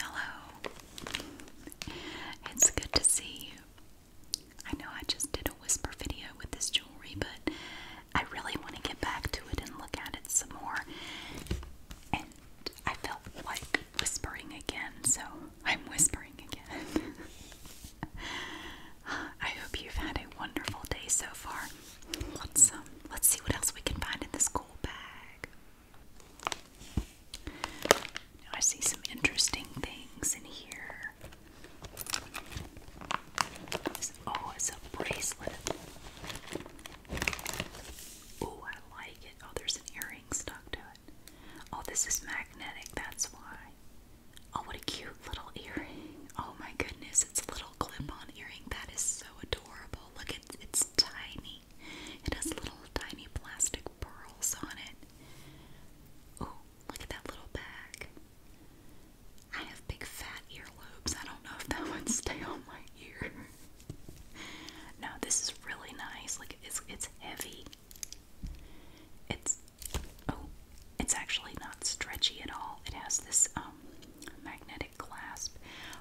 Hello. It's good to see you. I know I just did a whisper video with this jewelry, but I really want to get back to it and look at it some more. And I felt like whispering again, so I'm whispering again. I hope you've had a wonderful day so far. Um, let's see what else we can find in this cool bag. I see some interesting things in here. oh, it's a bracelet. Oh, I like it. Oh, there's an earring stuck to it. Oh, this is magnetic. That's why. Oh, what a cute little earring. Oh my goodness, it's a little clip-on earring. That is so adorable. Look, it's, it's tiny. It has little tiny plastic pearls on it. Oh, look at that little bag. I have big fat earlobes. I don't know if that would stay on my ear. no, this is really nice. Like it's it's heavy. It's oh, it's actually not stretchy at all. It has this um magnetic clasp.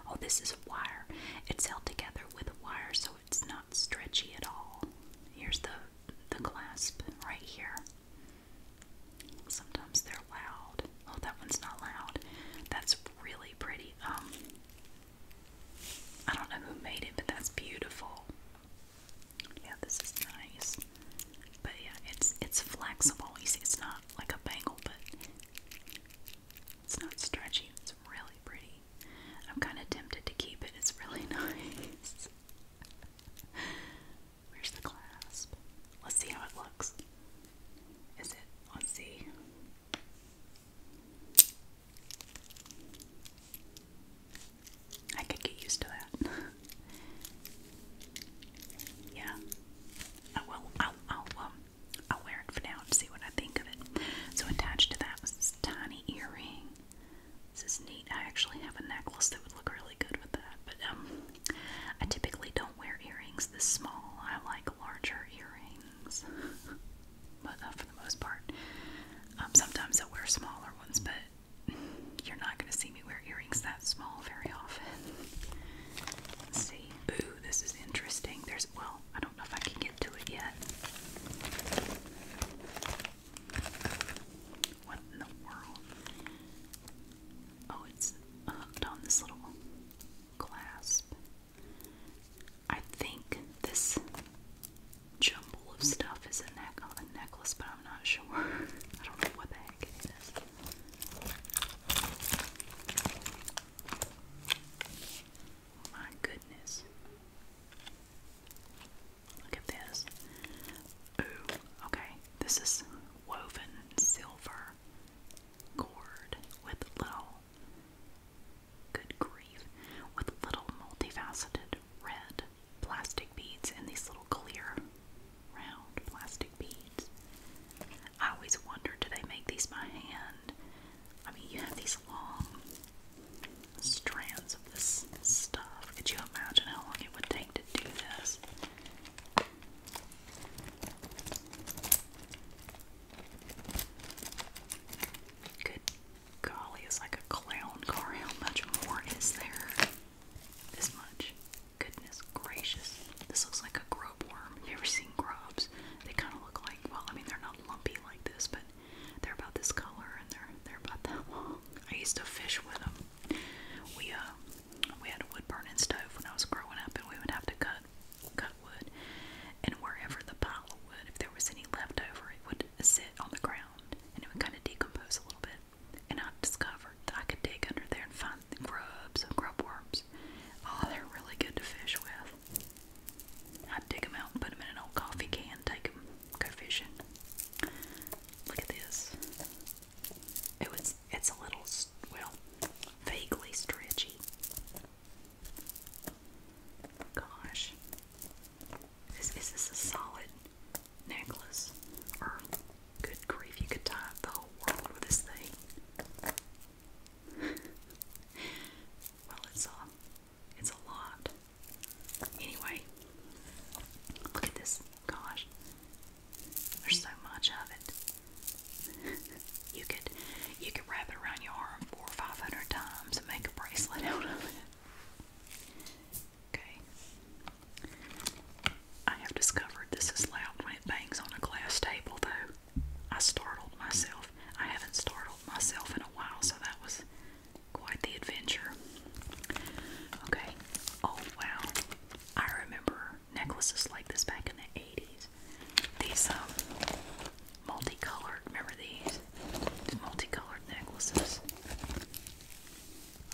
Oh, this is wire. It's held together with wire, so it's not stretchy at all. Here's the the clasp right here. Sometimes they're loud. Oh, that one's not loud. That's really pretty. Um, I don't know who made it, but that's beautiful. Yeah, this is nice. But yeah, it's it's flexible. You it's not like a bangle, but it's not stretchy. It's really pretty. I'm kind of tempted to keep it. It's really nice. Where's the clasp? Let's see how it looks. Is it? Let's see. I could get used to that. yeah. I will. I'll. I'll um, I'll wear it for now to see what I think of it. So attached to that was this tiny earring. This is neat. I actually have a necklace that would look really good with that, but um, I typically don't wear earrings this small. I like larger earrings, but not uh, for the most part, um, sometimes I wear smaller ones. But you're not going to see wear earrings that small very often. see. Ooh, this is interesting. There's, well, I don't know if I can get to it yet. What in the world? Oh, it's hooked on this little clasp. I think this jumble of stuff is a, neck a necklace, but I'm not sure. I don't know what the heck it is. My goodness. Look at this. Ooh, okay. This is woven silver cord with little, good grief, with little multifaceted red plastic beads and these little clear round plastic beads. I always wonder do they make these by hand? I mean, you have these long strands of this stuff. Could you imagine how long it would take to do this? Good golly, it's like a clown car. How much more is there? This much. Goodness gracious. This looks like a grub worm. Have you ever seen grubs? They kind of look like, well, I mean, they're not lumpy like this, but they're about this color and they're they're about that long. I used to fish with them. We uh we had a wood burning stove when I was growing up, and we would have to cut cut wood, and wherever the pile of wood, if there was any left over, it would sit on the ground, and it would kind of decompose a little bit. And I discovered that I could dig under there and find grubs and grub worms. Oh, they're really good to fish with. i dig them out put them in an old coffee can, take them, go fishing. Look at this. It was, it's a little, well, vaguely stretchy. Gosh. Is, this a solid necklace? Or, good grief, you could tie the whole world with this thing well, it's a, it's a lot. Anyway, look at this. Gosh, there's so much of it. you could, you could wrap it around your arm four or five hundred times and make a bracelet out of it. Okay. I have discovered this is loud when it bangs on a glass table, though. I startled myself. I haven't startled myself in a while, so that was quite the adventure. Okay. Oh, wow. I remember necklaces like this back in the 80s. These, um, multicolored, remember these? multicolored necklaces.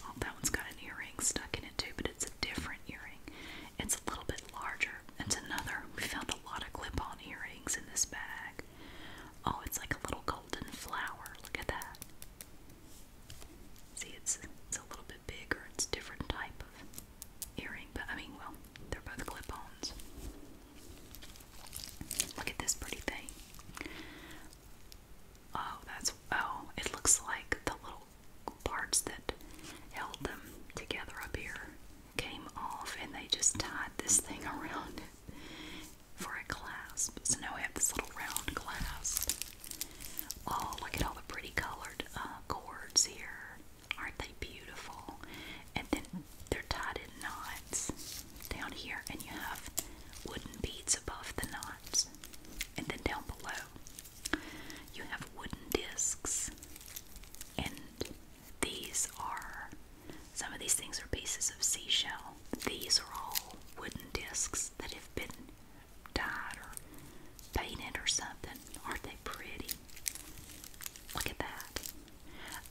Oh, that one's got an earring stuck in it too, but it's different earring. It's a little bit larger. It's another. We found a lot of clip-on earrings in this bag. Oh, it's like a little golden flower. Look at that. See, it's it's a little bit bigger. It's a different type of earring, but I mean, well, they're both clip-ons. Look at this pretty thing. Oh, that's oh, it looks like the little parts that held them together up here came off, and they just tied this thing around for a clasp. So now we have this little round clasp. Oh, look at all the pretty colored uh, cords here. Aren't they beautiful? And then they're tied in knots down here, and you have wooden beads above the knots. And then down below, you have wooden discs, and these are some of these things are pieces of seashell. These are all wooden discs that have been dyed or painted or something. Aren't they pretty? Look at that.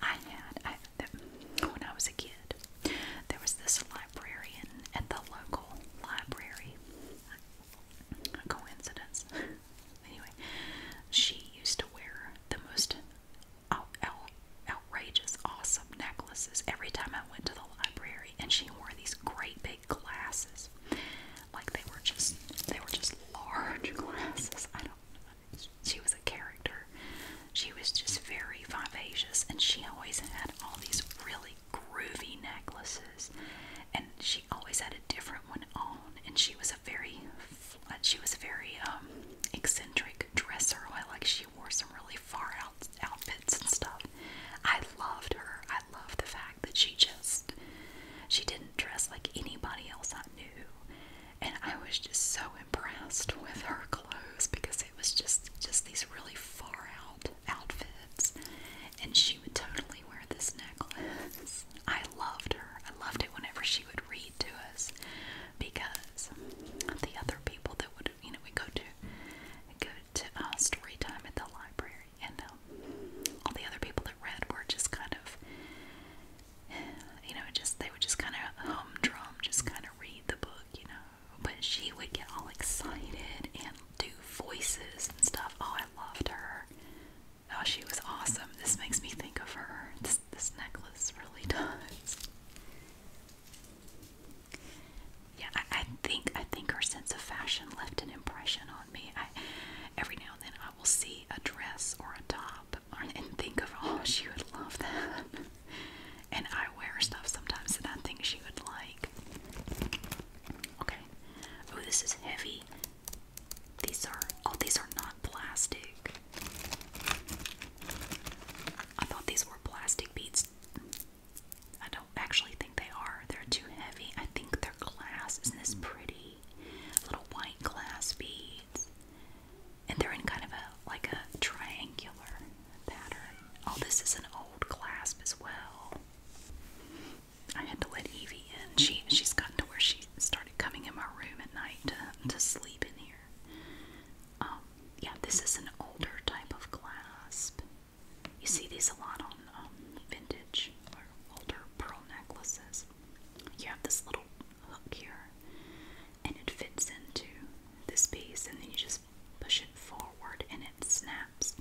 I had, when I was a kid, there was this librarian at the local library. Coincidence. Anyway, she used to wear the most out, out, outrageous, awesome necklaces every time I went to the library, and she wore these great big glasses, like they were just they were just large glasses. I don't. She was a character. She was just very vivacious, and she always had all these really groovy necklaces dresses, and she always had a different one on. And she was a very, uh, she was a very um, eccentric dresser. I like she wore some really far out outfits and stuff. I loved her. I loved the fact that she just, she didn't dress like anybody else I knew. And I was just so impressed with her clothes because it was just just these really far out outfits and she would totally wear this necklace. I loved her. I loved it whenever she would read to us because the other people that would, you know, we go to go to uh, story time at the library, and um, all the other people that read were just kind of, you know, just they would just kind of humdrum, just kind of read the book, you know. But she would get all excited and do voices and stuff. Oh, I loved her. Oh, she was awesome. This makes me think of her. This, necklace really does. Yeah, I, think I think her sense of fashion left an impression on me. I every now and then I will see a dress or a top and think of oh she would love that. And I wear stuff sometimes that I think she would like. Okay. Oh, this is heavy. These are oh, these are not plastic. I thought these were plastic beads. I don't actually think they are. They're too heavy. I think they're glass. Isn't this pretty? Little white glass beads. And they're in kind of a like a triangular pattern. Oh, this is an old clasp as well. I had to let Evie in. She she's gotten to where she started coming in my room at night to, to sleep in here. Um, yeah, this is an older type of clasp. You see these a lot on um, vintage or older pearl necklaces. You have this little hook here, and it fits into this piece, and then you just push it forward, and it snaps.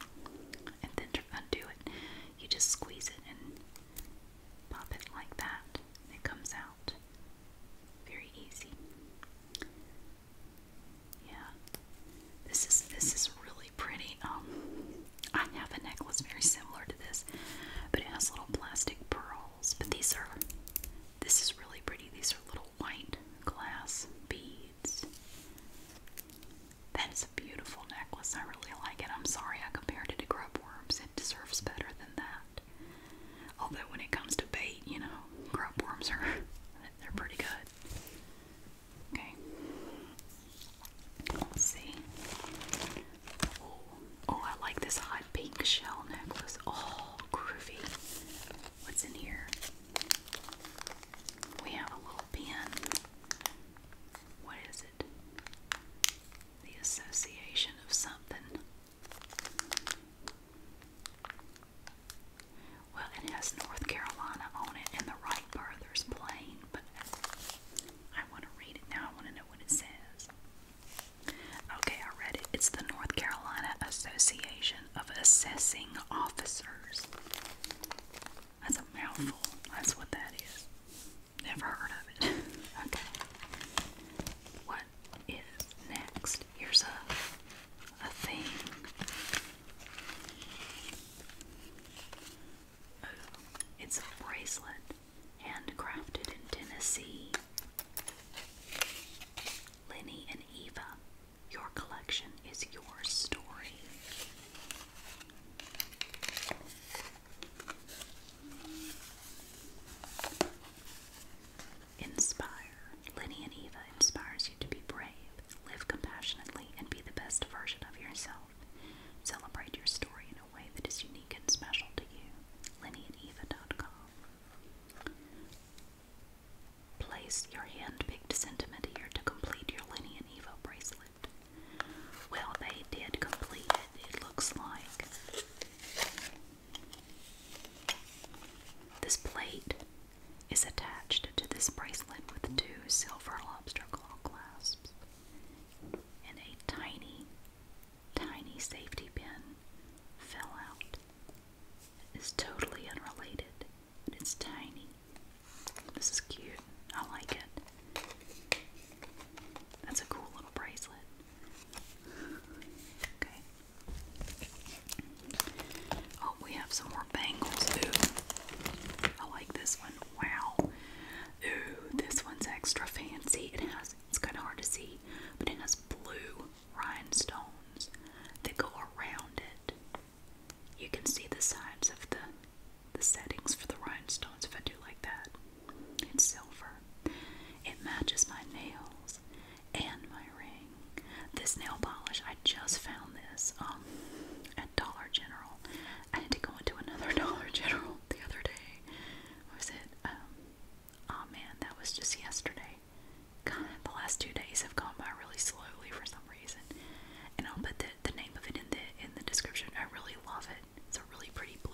And then to undo it, you just squeeze it, and Pop it like that, it comes out. Very easy. Yeah. This is this is really pretty. Um I have a necklace very similar to this, but it has little plastic pearls. But these are this is really pretty. These are little white glass beads. That is a beautiful necklace. I really like it. I'm sorry I compared it to grub it deserves better than that. Although when it comes to bait, you know, grubworms are they're pretty good. Okay. Let's see. Oh, I like this hot pink shell necklace. Oh, groovy. What's in here? We have a little pin. What is the association of something. Well, it has North Carolina on it and the Wright Brothers plane, but I want to read it now. I want to know what it says. Okay, I read it. It's the North Carolina Association of Assessing Officers. That's a mouthful. That's what that is. Never heard of it. okay. What is next? Here's a a thing. Oh, it's a bracelet handcrafted in Tennessee. Lenny and Eva, your collection is your story. Inspire. Lenny and Eva inspires you to be brave, live compassionately, and be the best version of yourself. Celebrate your story in a way that is unique and special to you. LennyandEva.com. Place your hand sentiment here to complete your Lenny and Eva bracelet. Well, they did complete it, it looks like. This plate is attached to this bracelet with two silver lobster claw clasps and a tiny, tiny safety pin fell out. It's totally unrelated, but it's tiny. This is cute. I like it. That's a cool little bracelet. Okay. Oh, we have some more bangles. Ooh. I like this one. Wow. Ooh, this one's extra fancy. It has it's kinda hard to see, but it has blue rhinestones that go around it. You can see the sides of the the settings for the rhinestones if I do like that. It's silver. It matches my nails and my ring. This nail polish, I just found this um, at Dollar General. I had to go into another Dollar General the other day. was it? Um, oh man, that was just yesterday. the last two days have gone by really slowly for some reason. And I'll put the, name of it in the in the description. I really love it. It's a really pretty blue.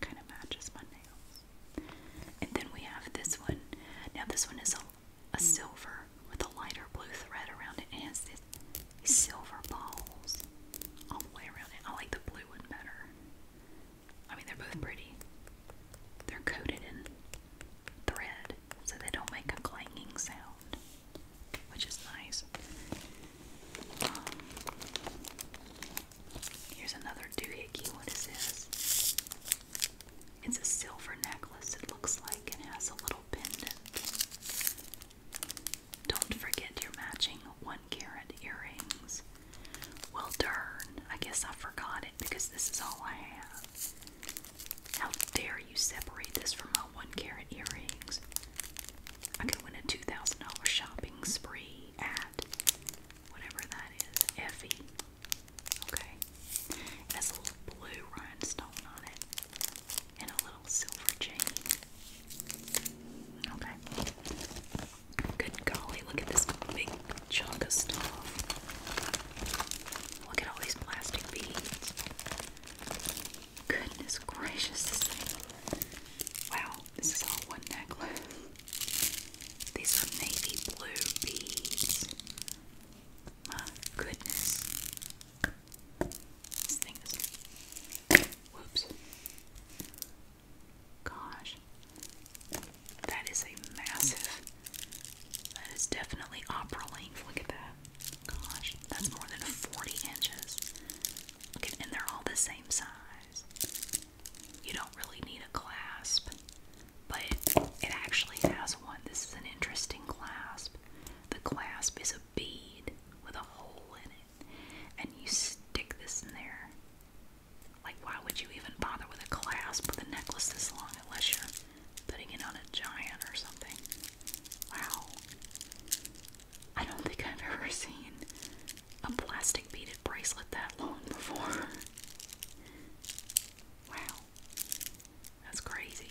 Kind of matches my nails. And then we have this one. Now this one is a, silver with a lighter blue thread around it. And it silver balls all the way around it. I like the blue one better. I mean, they're both pretty. They're coated in thread so they don't make a clanging sound, which is nice. Um, Here's another doohickey. What is this? It's a silver necklace, it looks like, and has a little pendant. Don't forget your matching one carat earrings. Well, darn, I guess I forgot it because this is all I have. How dare you separate this from my one carat earrings? I could win a $2,000 shopping spree at whatever that is, Effie. Okay. It a little blue rhinestone on it and a little silver chain. Okay. Good golly, look at this big chunk of stuff. Look at all these plastic beads. Goodness gracious, Wow, this is all one necklace. These are navy blue beads. My goodness. This thing is. Whoops. Gosh. That is a massive. That is definitely opera length. Look at that. Gosh, that's more than 40 inches. and they're all the same size. You don't really need a clasp, but it actually has one. This is an interesting clasp. The clasp is a bead with a hole in it, and you stick this in there. Like, why would you even bother with a clasp with a necklace this long unless you're putting it on a giant or something? Wow. I don't think I've ever seen a plastic beaded bracelet that long before. wow. That's crazy.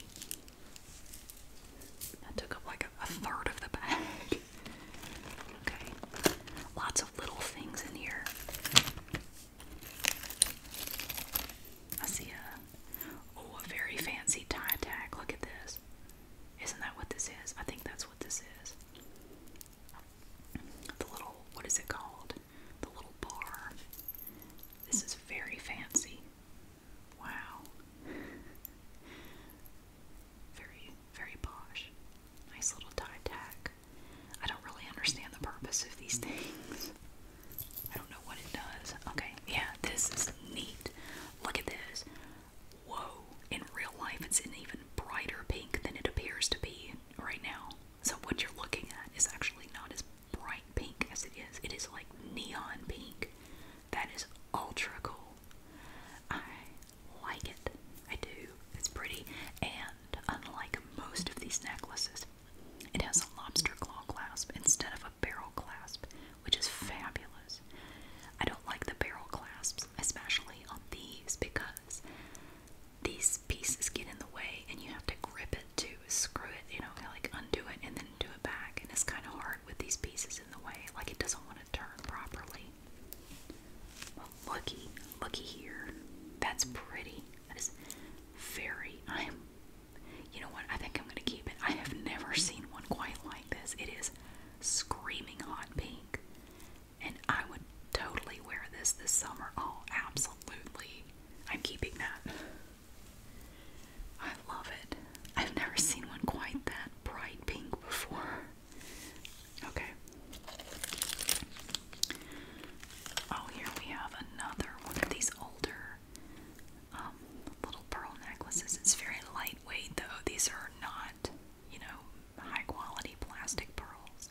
That took up like a, third of the bag. okay. Lots of little things in here. I see a oh a very fancy tie tag. Look at this. Isn't that what this is? I think that's what this is the little, what is it called? The little bar. This is very fancy. Wow. Very, very posh. Nice little tie tack. I don't really understand the purpose of these things. I don't know what it does. Okay, yeah, this is neat. Look at this. Whoa, in real life it's an even brighter pink than it appears to be right now. So what you're looking at is actually not as bright pink as it is. It is like neon pink. That is ultra cool. I like it. I do. It's pretty. And unlike most of these necklaces, it has a lobster claw clasp instead of a barrel clasp, which is fabulous. I don't like the barrel clasps especially on these, because these pieces get in the way and you have to grip it to screw it, you know, like undo it and then do it back. And it's kind of hard with these pieces in the way, like it doesn't want to turn properly. Well, looky, looky here. That's pretty. That is very. I am. You know what? I think I'm going to keep it. I have never seen one quite like this. It is screaming hot pink. And I would totally wear this this summer. Oh, absolutely. I'm keeping that. I love it. I've never seen one quite that bright pink before. Okay. Oh, here we have another one of these older um, little pearl necklaces. It's very lightweight, though. These are not you know, high quality plastic pearls.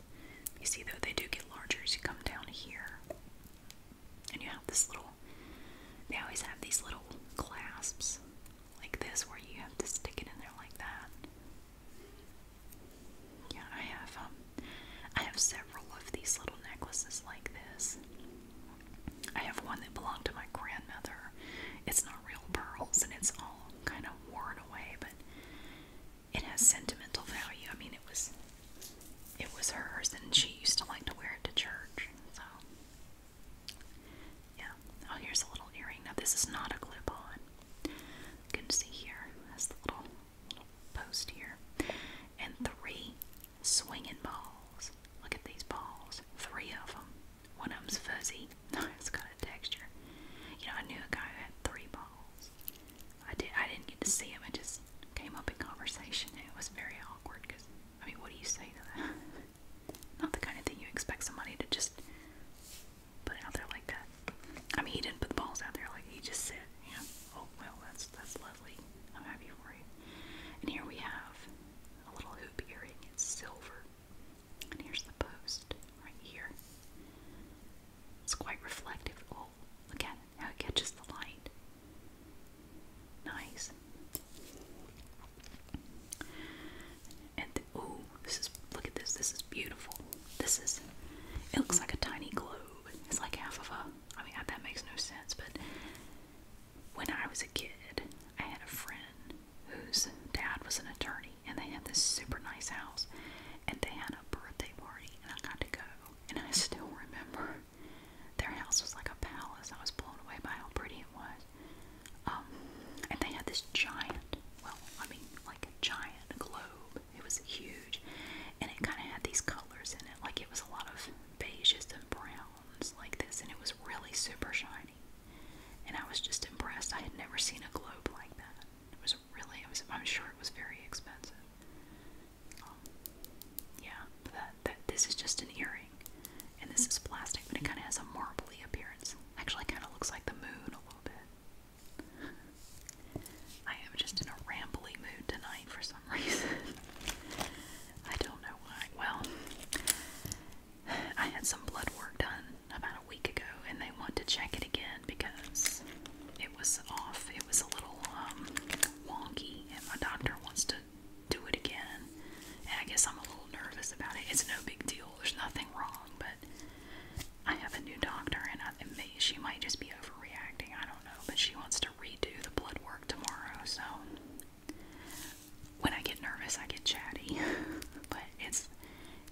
You see, though, they do get larger as you come down here. And you have this little, they always have these little clasps like this where you have to stick it in there like that. Yeah, I have, um, I have several of these little necklaces like this. I have one that belonged to my grandmother. It's not real pearls and it's all kind of worn torn away, but it has sentimental value. I mean, it was it was hers, and she used to like to wear it to church. So, yeah. Oh, here's a little earring. Now, this is not a clip-on. You can see here that's the little, little post here, and three swinging balls. Look at these balls. Three of them. One of them's fuzzy. No, it's good kind of texture. You know, I knew a guy who had three balls. I did. I didn't get to see him. I just came up in conversation. And it was very awkward because I mean, what do you say to that? Not the kind of thing you expect somebody to just put out there like that. I mean, he didn't put the balls out there like he just said, you know, oh well, that's that's lovely. I'm happy for you. And here we have a little hoop earring. It's silver. And here's the post right here. It's quite reflective. Oh, look at how it catches the light. Nice. And oh, this is, look at this, this is beautiful. This is, it looks like a tiny globe. It's like half of a, I mean, that makes no sense, but when I was a kid, I had a friend whose dad was an attorney, and they had this super nice house and they had a birthday party and I got to go and I still remember their house was like a palace. I was blown away by how pretty it was. Um, and they had this giant, well, I mean, like a giant globe. It was huge, and it kind of had these colors in it. Like it was a lot of beiges and browns, like this, and it was really super shiny. And I was just impressed. I had never seen a globe like that. It was really, I'm sure it was very expensive. Um, yeah, that, that, this is just an earring, and this is plastic, but it kind of has a marbly appearance. Actually, kind of looks like the moon a little bit. I am just in a rambly mood tonight for some reason. I don't know why. Well, I had some blood work done about a week ago and they want to check it again because it was off. It was a little um, wonky and my doctor wants to do it again. And I guess I'm a little nervous about it. It's no big deal. There's nothing wrong, but I have a new doctor and I, and may, she might just be overreacting. I don't know, but she wants to redo the blood work tomorrow. So when I get nervous, I get chatty, but it's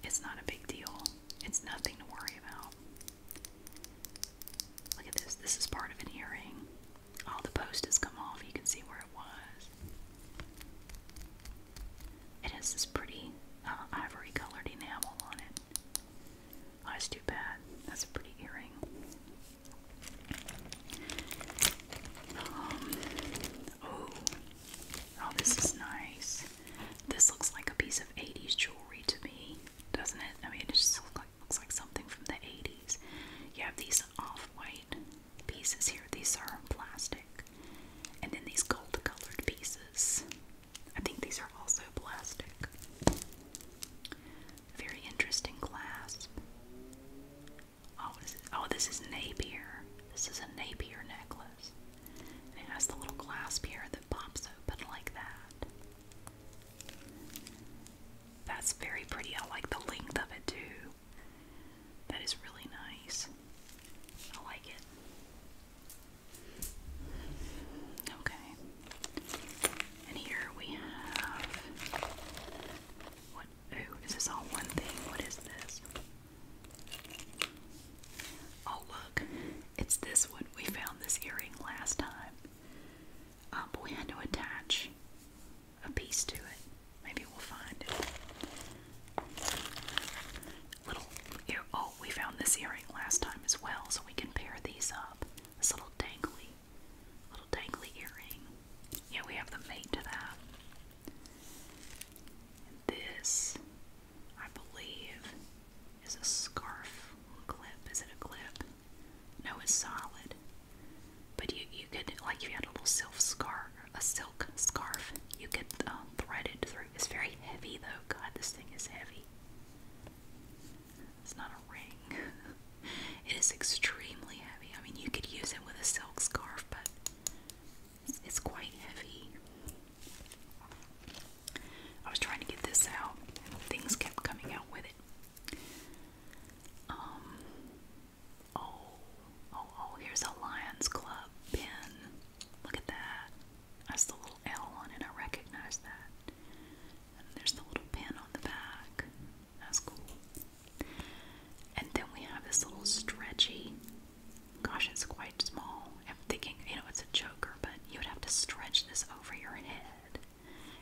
it's not a big deal. It's nothing to worry about. Look at this. This is part of an earring. All the post has come off. You can see where it was. It has this pretty uh, ivory colored enamel on it. Oh, that's too bad. That's a pretty earring. oh, Oh, this is nice. This looks like a piece of 80s jewelry to me, doesn't it? I mean, it just looks like, something from the 80s. You have these off white pieces here, these are plastic, and then these gold colored pieces. I think these are also plastic. Very interesting clasp. Oh, what is it? Oh, this is Napier. This is a Napier necklace. And it has the little clasp here that pops open like that. That's very pretty. I like the length of it too. That is really nice. I like it. Okay. And here we have what oh, is this all one thing? What is this? Oh, look, it's this one. We found this earring last time. but we had to attach a piece to it. Maybe we'll find it. Little ear. Oh, we found this earring last time as well, so we can pair these up. This little dangly, little dangly earring. Yeah, we have the mate to that. this, I believe, is a scarf clip. Is it a clip? No, it's solid. But you you could like you had a little silk scarf, a silk scarf, you could um, thread it through. It's very heavy though. God, this thing is heavy. It's not a ring. it is extremely heavy. I mean, you could use it with a silk scarf, but it's quite heavy. I was trying to get this out, and things kept coming out with it. Um, oh, oh, oh, here's a Lions Club pin. Look at that. That's the little L on it. I recognize that. And there's the little pin on the back. That's cool. And then we have this little stretchy gosh, it's quite small. I'm thinking, you know, it's a choker, but you would have to stretch this over your head.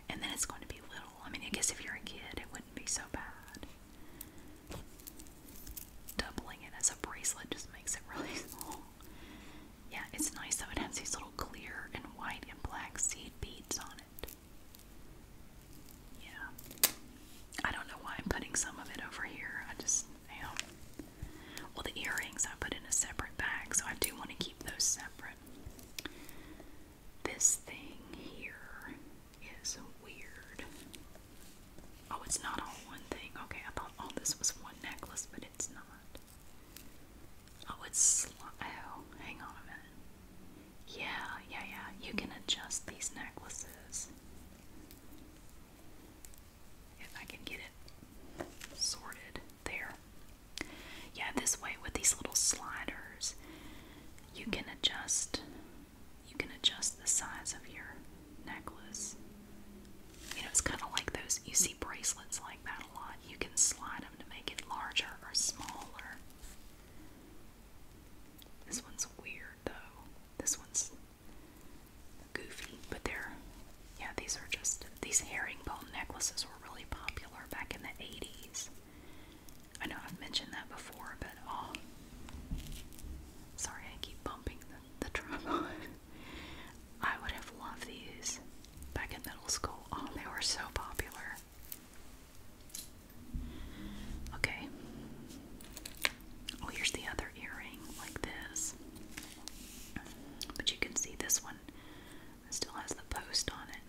And then it's going to be little. I mean, I guess if you're a kid, it wouldn't be so bad. Doubling it as a bracelet just makes it really small. Yeah, it's nice though. It has these little clear and white and black seed beads on it. Yeah. I don't know why I'm putting some of it over here. I just now. Well, the earrings I put in a separate bag, so I do want to keep those separate. This thing here is weird. Oh, it's not all one thing. Okay, I thought all this was one necklace, but it's not. Oh, it's oh, hang on a minute. Yeah, yeah, yeah. You can adjust these necklaces. If I can get it sorted there. Yeah, this way with these little sliders, you can adjust you can adjust the size of your necklace. You know, it's kind of like those you see bracelets like that a lot. You can slide them to make it larger or smaller. This one's weird though. This one's goofy, but they're yeah, these are just these herringbone necklaces were really popular back in the 80s. I know I've mentioned that before, but oh sorry I keep bumping the, the tripod. I would have loved these back in middle school. Oh, they were so popular. Okay. Oh, here's the other earring, like this. But you can see this one still has the post on it.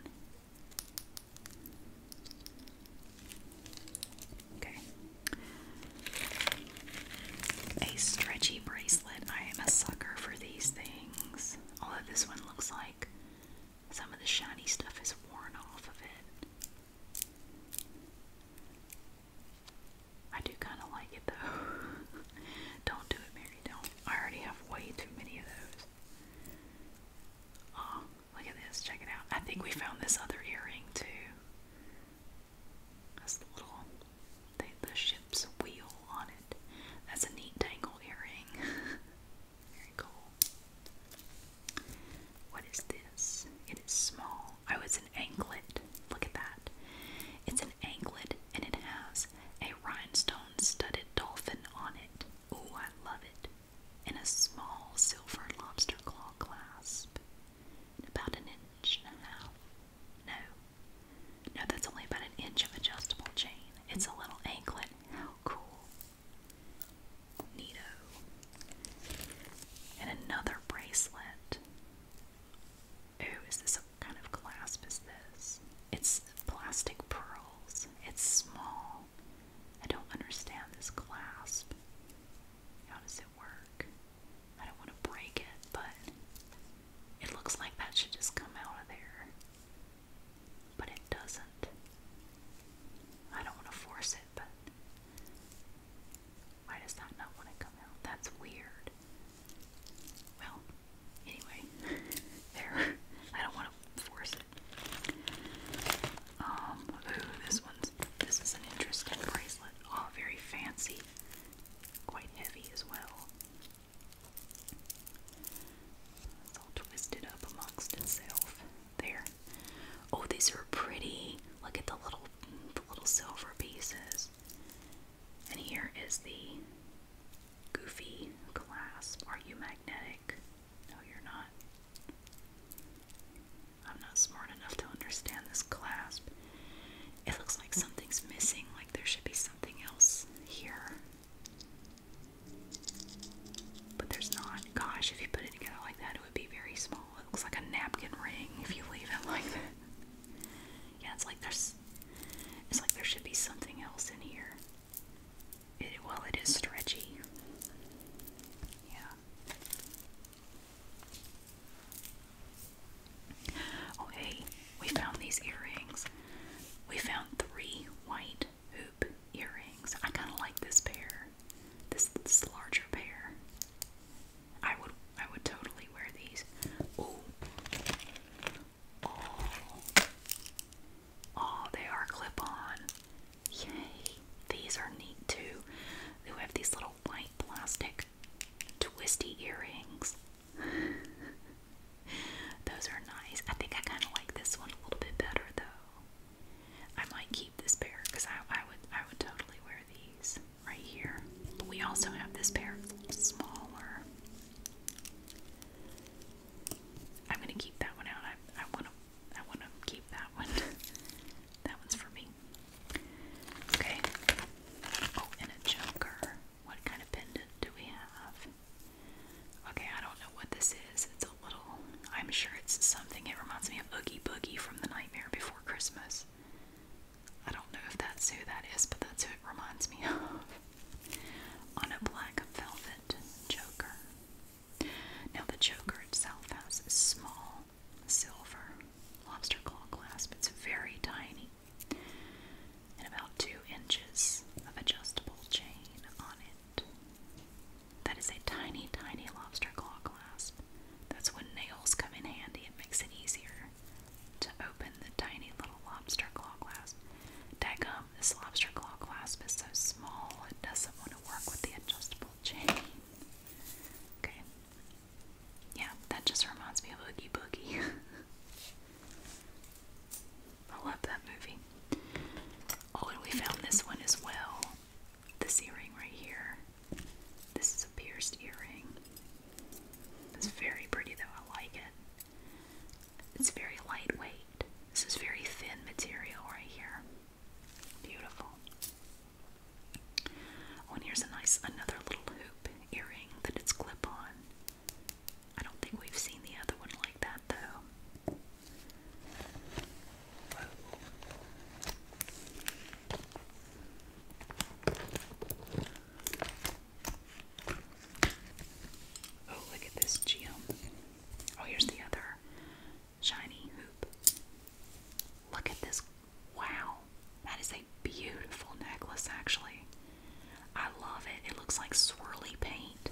Okay. A stretchy bracelet. I am a sucker for these things. Although this one looks like some of the shiny stuff is worn off of it. I do kind of like it though. don't do it, Mary. Don't. I already have way too many of those. Oh, look at this. Check it out. I think we found this other earring too. That's the little, the, ship's wheel on it. That's a neat dangle earring. Very cool. What is this? It is small. Oh, it's an anklet. Look at that. It's anklet and it has a rhinestone studded dolphin on it. Oh, I love it. And a small silver lobster claw clasp. About an inch and a half. No. No, that's only about an inch of adjustable chain. It's a little anklet. How cool. Neato. And another bracelet. Oh, is this what kind of clasp is this? It's plastic pearls. It's small. I don't understand this clasp. How does it work? I don't want to break it, but it looks like that should just come out of there. But it doesn't. I don't want to force it, but why does that not want to come out? That's weird. Well, anyway, there. I don't want to force it. Um, this one's, this is an interesting bracelet. Oh, very fancy. Quite heavy as well. It's all twisted up amongst itself. There. Oh, these are pretty. Look at the little, the little silver pieces. And here is the goofy clasp. Are you magnetic? No, you're not. I'm not smart enough to understand this clasp. It looks like something's missing, like there should be something else here. But there's not. Gosh, if you put it together like that, it would be very small. It looks like a napkin ring if you leave it like that. Yeah, it's like there's it's like there should be something else in here. well, it is stretchy. Yeah. Oh, hey, we found these earrings. We found three white hoop earrings. I kind of like this pair. This larger pair. I would I would totally wear these. Oh, oh they are clip-on. Yay. These are neat too. They have these little white plastic twisty earrings. Those are nice. I think I kind of like this one a little bit better though. I might keep this pair because I, would I would totally wear these right here. But We also have this pair, a smaller. I'm gonna keep that one out. I I wanna I wanna keep that one. that one's for me. Okay. Oh, and a joker. What kind of pendant do we have? Okay, I don't know what this is. It's a little I'm sure it's something. It reminds me of Oogie Boogie from the Nightmare Before Christmas. I don't know if that's who that is, but that's who it reminds me of on a black velvet choker. Now, the choker itself has a small silver lobster claw clasp, it's very tiny, and about two inches of adjustable chain on it. That is a tiny, tiny lobster claw clasp. That's when nails come in handy, it makes it easier to open the tiny little lobster claw clasp. Daggum, this lobster claw clasp is so small it doesn't want to work with the adjustable chain. Okay. Yeah, that just reminds me of Oogie Boogie. I love that movie. Oh, and we found this one as well. This earring right here. This is a pierced earring. It's very pretty though, I like it. It's very lightweight. This is very thin material right here. Beautiful. Oh, and here's a nice another little hoop earring that it's clip on. I don't think we've seen the other one like that though. Oh, look at this gem. Oh, here's the other shiny hoop. Look at this. Wow. That is a beautiful necklace, actually. I love it. It looks like swirly paint.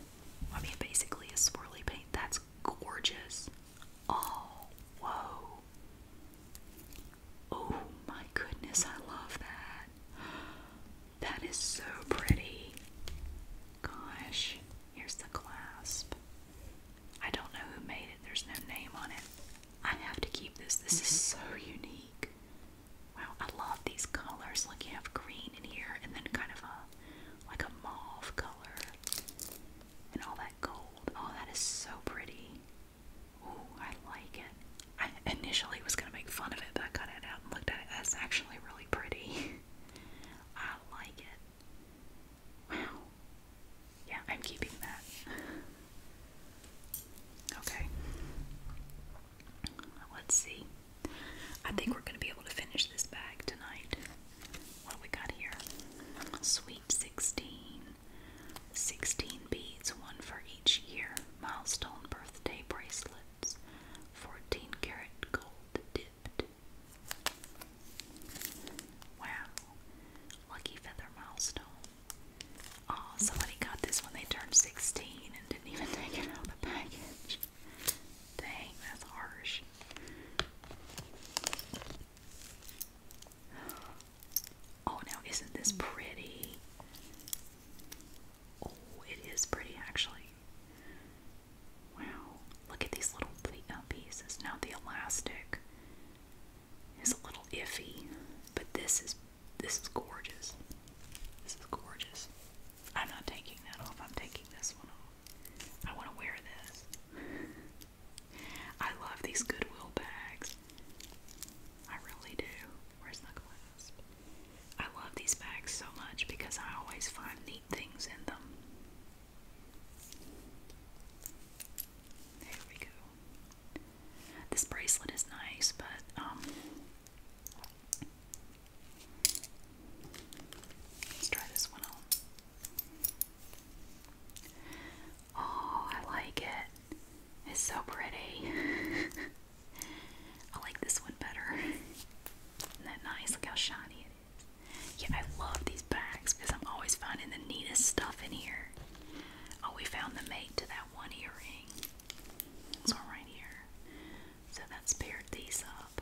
I mean, basically, a swirly paint. That's gorgeous. Oh, whoa. Oh my goodness, I love that. That is so pretty. Gosh, here's the clasp. I don't know who made it, there's no name on it. I have to keep this. This is mm-hmm. so unique. Wow, I love these colors. Like you have green in here and then kind of a like a mauve color. And all that gold. Oh, that is so pretty. Ooh, I like it. I initially was going to make fun of it, but I cut it out and looked at it. That's actually really pretty. I like it. Wow. Yeah, I'm keeping that. Okay. Let's see. I think we're going to be able to finish this bag tonight. What do we got here? Sweet 16. 16 beads, one for each year. Milestone birthday bracelets. 14 karat gold dipped. Wow. Lucky feather milestone. Oh, somebody got this when they turned 16 and didn't even take it out of the package. Dang, that's harsh. Oh, now isn't this pretty? Oh, it is pretty actually. Wow, look at these little uh, pieces. Now the elastic is a little iffy, but this is this is gorgeous. This is gorgeous. I'm not taking that off. I'm taking this one off. I want to wear this. I love these Goodwill bags. I really do. Where's the clasp? I love these bags so much because I always find neat things in them. There we go. This bracelet is nice, but um, Let's try this one on. Oh, I like it. It's so pretty. I like this one better. Isn't that nice? Look how shiny it is. Yeah, I love these bags because I'm always finding the neatest stuff in here. Oh, we found the mate to that one earring. It's one here. So that's paired these up.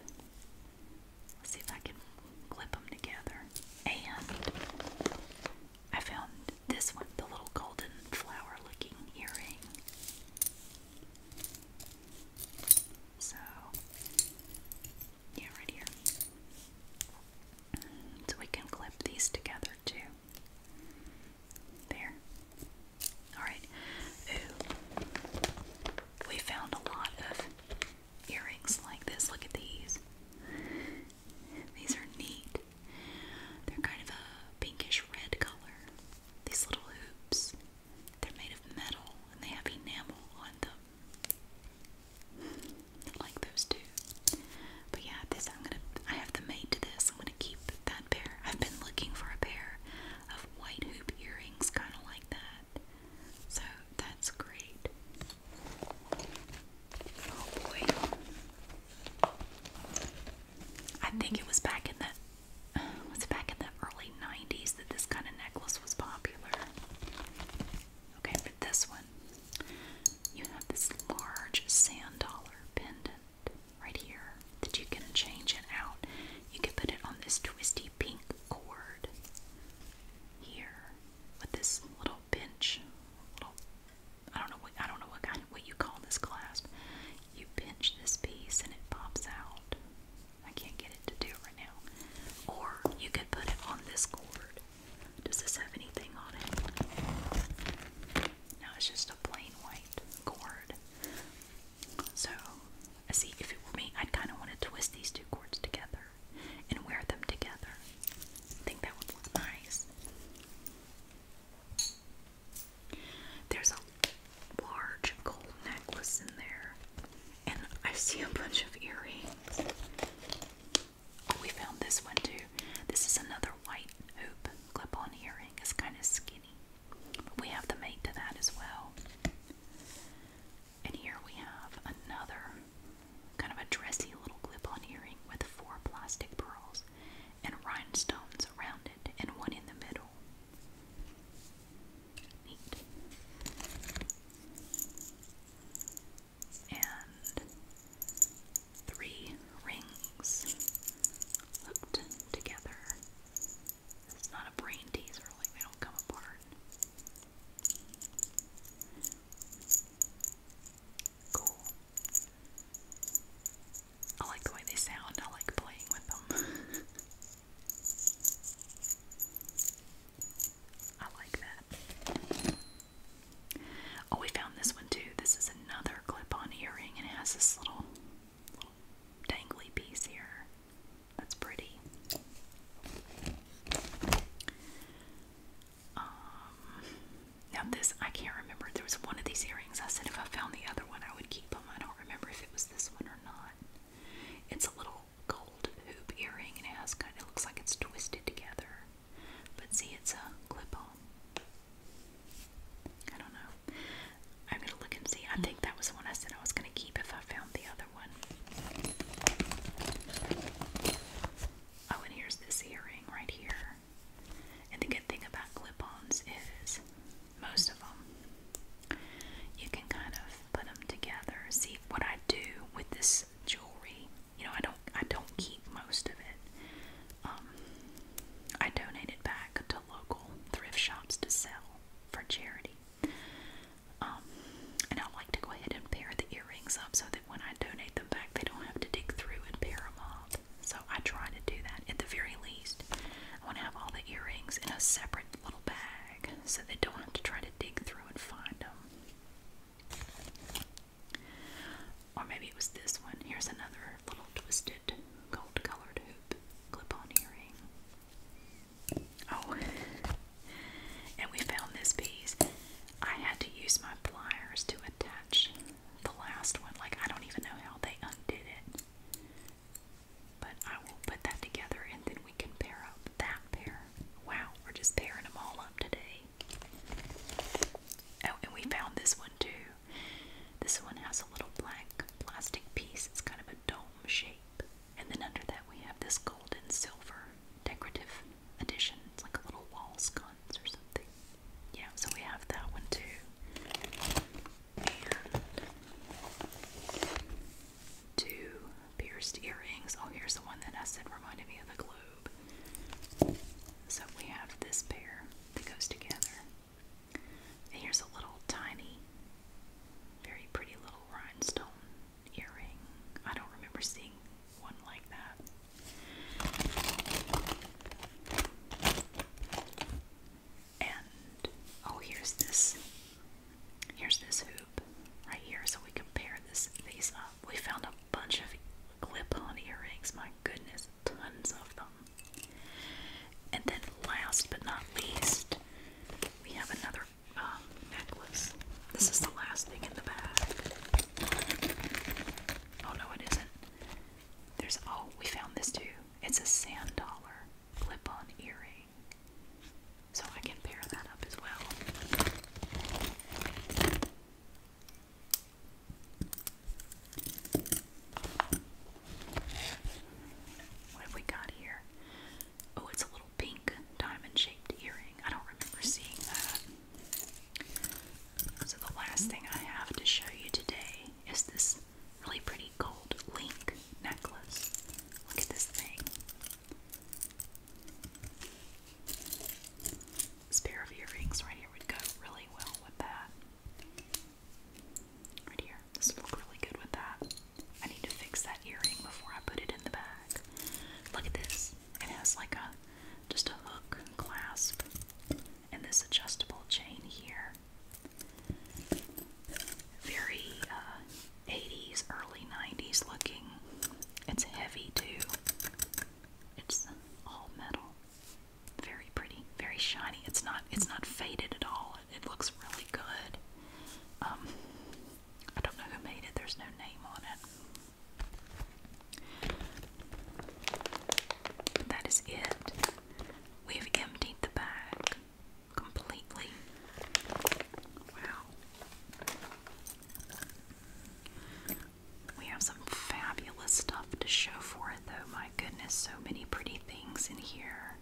Let's see if I can clip them together. And I found this one, the little golden flower looking earring. So, yeah, right here. So we can clip these together too. There. Alright. Ooh. We found a lot of earrings like this. Look at these. These are neat. They're kind of a pinkish red color. These little hoops. They're made of metal and they have enamel on them. Like those two. But yeah, this I'm gonna I have them made to this. I'm gonna keep that pair. I've been looking for a pair of white hoop earrings kinda like that. So that's great. Oh boy. I think it was back in that it was back in the early 90s that this kind of necklace was popular. Okay, but this one, you have this large sand dollar pendant right here that you can change it out. You can put it on this twisty pink cord here with this little pinch. Little, I don't know I don't know what kind what you call this clasp. You pinch this piece and it pops out. I can't get it to do it right now. Or you could put it on this cord. Does this have anything on it? No, it's just a plain white cord. So, I see, if it were me, I'd kind of want to twist these two cords together and wear them together. think that would look nice. There's a large gold necklace in there, and I see a bunch of earrings. Oh, we found this one too. This is another white hoop clip on earring, it's kind of skinny, we have the mate to that as well. And here we have another kind of a dressy little clip on earring with four plastic pearls and rhinestones around it, and one in the middle. And three rings hooked together. It's not a brain teaser, like they don't come apart. Cool. I like the way they sound, I like playing with them. I like that. Oh, we found this one too. This is another clip-on earring, and it has this little, little dangly piece here. That's pretty. Um, now this I can't remember. There was one of these earrings. I said if I found the other one, I would keep them. I don't remember if it was this one or not. It's a little gold hoop earring and it has kind of, looks like it's twisted together. But see, it's a clip on. I don't know. I'm gonna look and see. I think that was the one I said I was gonna keep if I found the other one. Oh, and here's this earring right here. And the good thing about clip ons is most of them. You can kind of put them together. See what I do with this jewelry. You know, I don't I don't keep most of it. Um, I donate it back to local thrift shops to sell for charity. Um, and I like to go ahead and pair the earrings up so that when I donate them back, they don't have to dig through and pair them up. So I try to do that at the very least. I want to have all the earrings in a separate little bag so they don't have to try to dig through and find them. Or maybe it was this one. Here's another little twisted gold colored hoop clip on earring. Oh, and we found this piece. I had to use my pliers to attach the last one. Like, I don't even know how they undid it. But I will put that together and then we can pair up that pair. Wow, we're just pairing them all up today. Oh, and we found this one too. This one has a little black plastic piece. It's kind of a dome shape. And then under that we have this gold and silver decorative addition. It's like a little wall sconce or something. Yeah, so we have that one too two pierced earrings. Oh, here's the one that I said reminded me of the globe. So we have this pair that goes together. And here's a little tiny, very pretty little rhinestone earring. I don't remember seeing one like that and oh here's this here's this hoop right here so we compare this these up we found a bunch of clip-on earrings my goodness tons of them and then last but not least we have another um, necklace this is the last thing in the bag oh no it isn't there's oh we found this too it's a sand dollar clip-on earring so I can pair that up as well. What have we got here? Oh, it's a little pink diamond shaped earring. I don't remember seeing that. So, the last thing I have to show you today is this really pretty gold gold link necklace. Look at this thing. This pair of earrings right here would go really well with that. Right here. This would look really good with that. I need to fix that earring before I put it in the bag. Look at this. It has like a just a hook clasp and this adjustable chain here. Very uh, 80s, early 90s looking. It's heavy too. It's all metal. Very pretty, very shiny. It's not it's not faded at all. It, looks really good. Um, I don't know who made it. There's no name on it. that is it. We've emptied the bag completely. Wow. We have some fabulous stuff to show for it, though. My goodness, so many pretty things in here.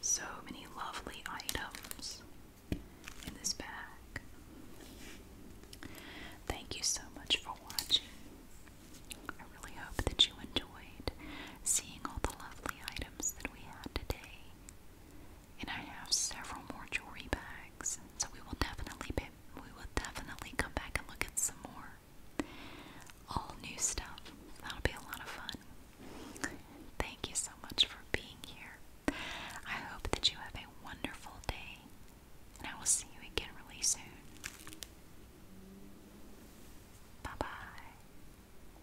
So many lovely items in this bag. Thank you so much for watching. I really hope that you enjoyed seeing all the lovely items that we had today. And I have several more jewelry bags, so we will definitely be, we will definitely come back and look at some more all new stuff. That'll be a lot of fun. Thank you so much for being here. I hope that you have a wonderful day, and I will see you again really soon. Bye bye.